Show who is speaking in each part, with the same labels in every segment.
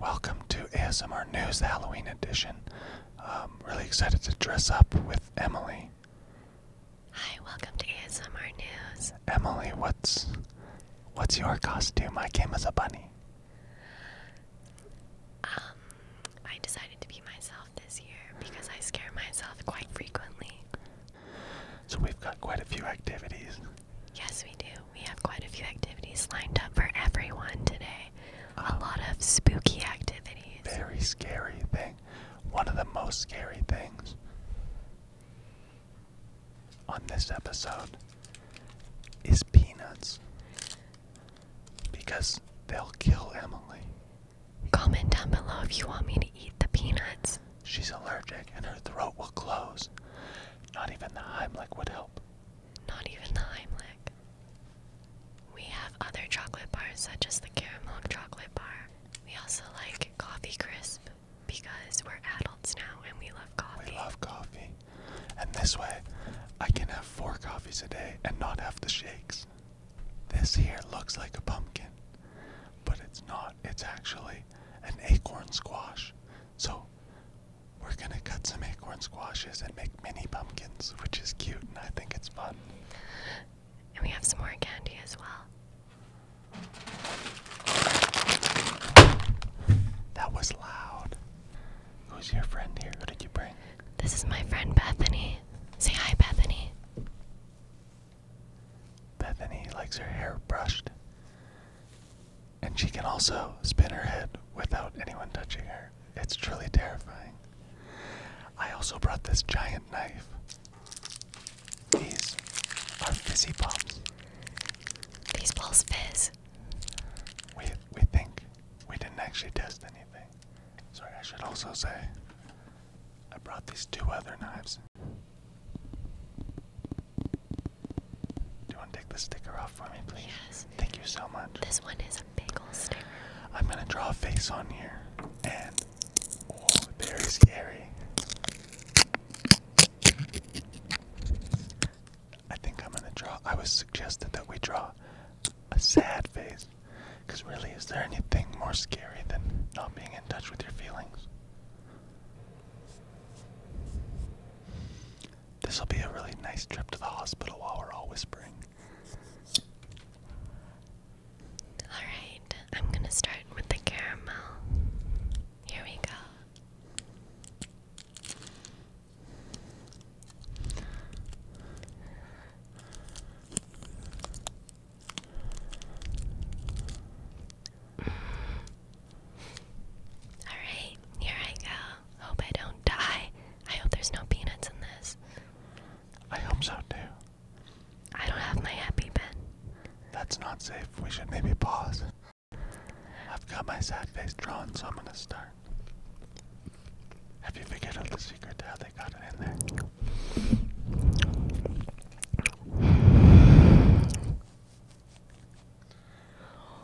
Speaker 1: Welcome to ASMR News Halloween Edition. Um, really excited to dress up with Emily. Hi, welcome to ASMR News. Emily, what's what's your costume? I came as a bunny. Um, I decided to be myself this year
Speaker 2: because I scare myself quite frequently. So we've got quite a few activities. Yes, we do. We have quite a few activities lined up for everyone today. a ah. lot of spooky
Speaker 1: activities. Very scary thing. One of the most scary things on this episode is peanuts. Because they'll kill Emily. Comment down below if you want me to eat the peanuts. She's allergic and her throat will close. Not even the Heimlich would help. Not even
Speaker 2: the Heimlich. We have other chocolate bars such as the caramel chocolate bar. We also like coffee crisp because we're adults now and we love
Speaker 1: coffee. We love coffee. And this way, I can have four coffees a day and not have the shakes. This here looks like a pumpkin, but it's not. It's actually an acorn squash. So we're gonna cut some acorn squashes and make mini pumpkins, which is cute and I think it's fun. And we have some more candy as well. That was loud. Who's your friend here? Who did you bring? This is my friend Bethany. Say hi, Bethany. Bethany likes her hair brushed. And she can also spin her head without anyone touching her. It's truly terrifying. I also brought this giant knife. These are fizzy bombs. These balls fizz. We we think we didn't actually test anything. Sorry, I should also say I brought these two other knives. Do you want to take the sticker off for me, please? Yes. Thank you so much. This one is a bagel sticker. I'm gonna draw a face on here, and very scary. I think I'm gonna draw. I was suggested that we draw a sad face. Because really, is there anything more scary than not being in touch with your feelings? This will be a really nice trip to the hospital while we're all whispering. Alright, I'm gonna
Speaker 2: start with the caramel. Here we go. All right, here I go. Hope I don't die. I hope there's no peanuts in this. I hope so too. I
Speaker 1: don't have my happy pen. That's not safe. We should maybe pause. I've got my sad face drawn, so I'm gonna start. Have you figured out the secret to how they got it in there?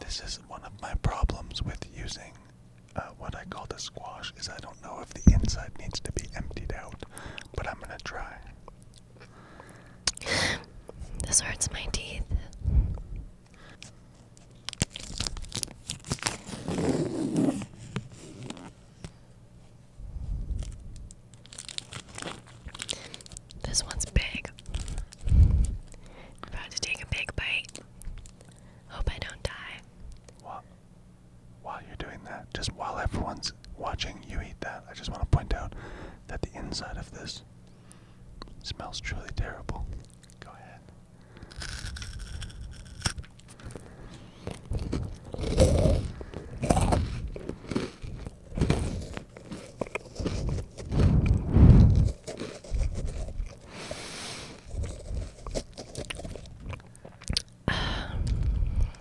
Speaker 1: This is one of my problems with using uh, what I call the squash is I don't know if the inside needs to be emptied out, but I'm gonna try. this
Speaker 2: hurts my teeth.
Speaker 1: This one's big. About to take a big bite. Hope I don't die. While, you're doing that, just while everyone's watching you eat that, I just want to point out that the inside of this Smells truly terrible. Go ahead.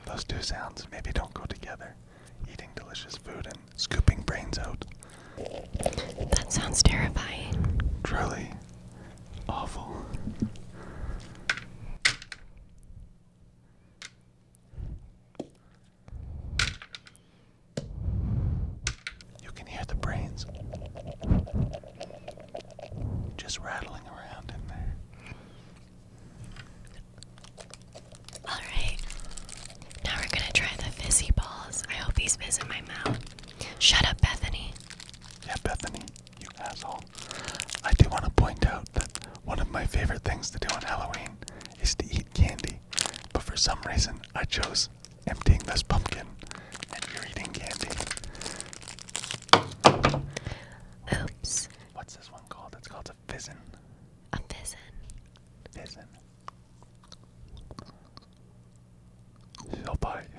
Speaker 1: Those two sounds maybe don't go together eating delicious food and scooping brains out. That sounds terrifying. Truly awful. You can hear the brains just rattling around in there.
Speaker 2: Alright. Now we're gonna try the fizzy balls. I hope these
Speaker 1: fizz in my mouth. Shut up, Bethany. Yeah, Bethany, you asshole. I do want to point out that one of my favorite things to do on Halloween is to eat candy. But for some reason, I chose emptying this pumpkin and you're eating candy. Oops. What's this one called? It's called a fizzin. A fizzin. Fizzin. So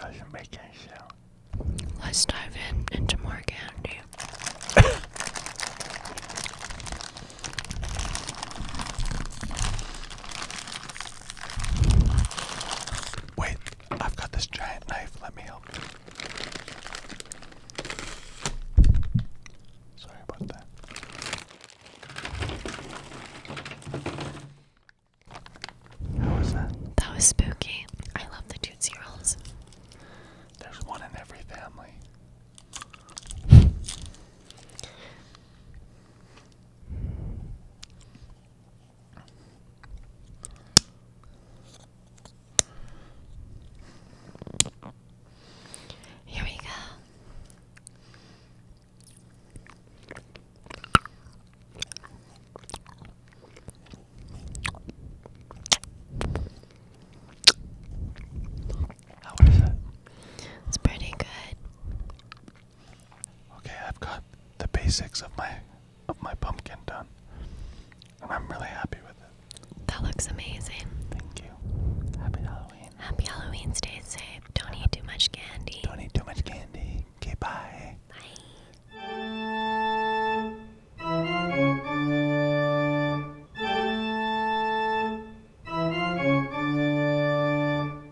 Speaker 1: doesn't make any sound. Let's dive in into more candy. Wait, I've got this giant knife. Let me help Sorry about that.
Speaker 2: How was that? That was spooky. I love the Tootsie Rolls. There's one in every family. Here we go.
Speaker 1: How is it? It's pretty good. Okay, I've got the basics of my of my pumpkin done. And I'm really happy with it. That looks amazing. Thank you.
Speaker 2: Happy Halloween. Happy Halloween. Stay safe. Don't eat too much candy. Don't eat too much candy. Okay, bye. Bye.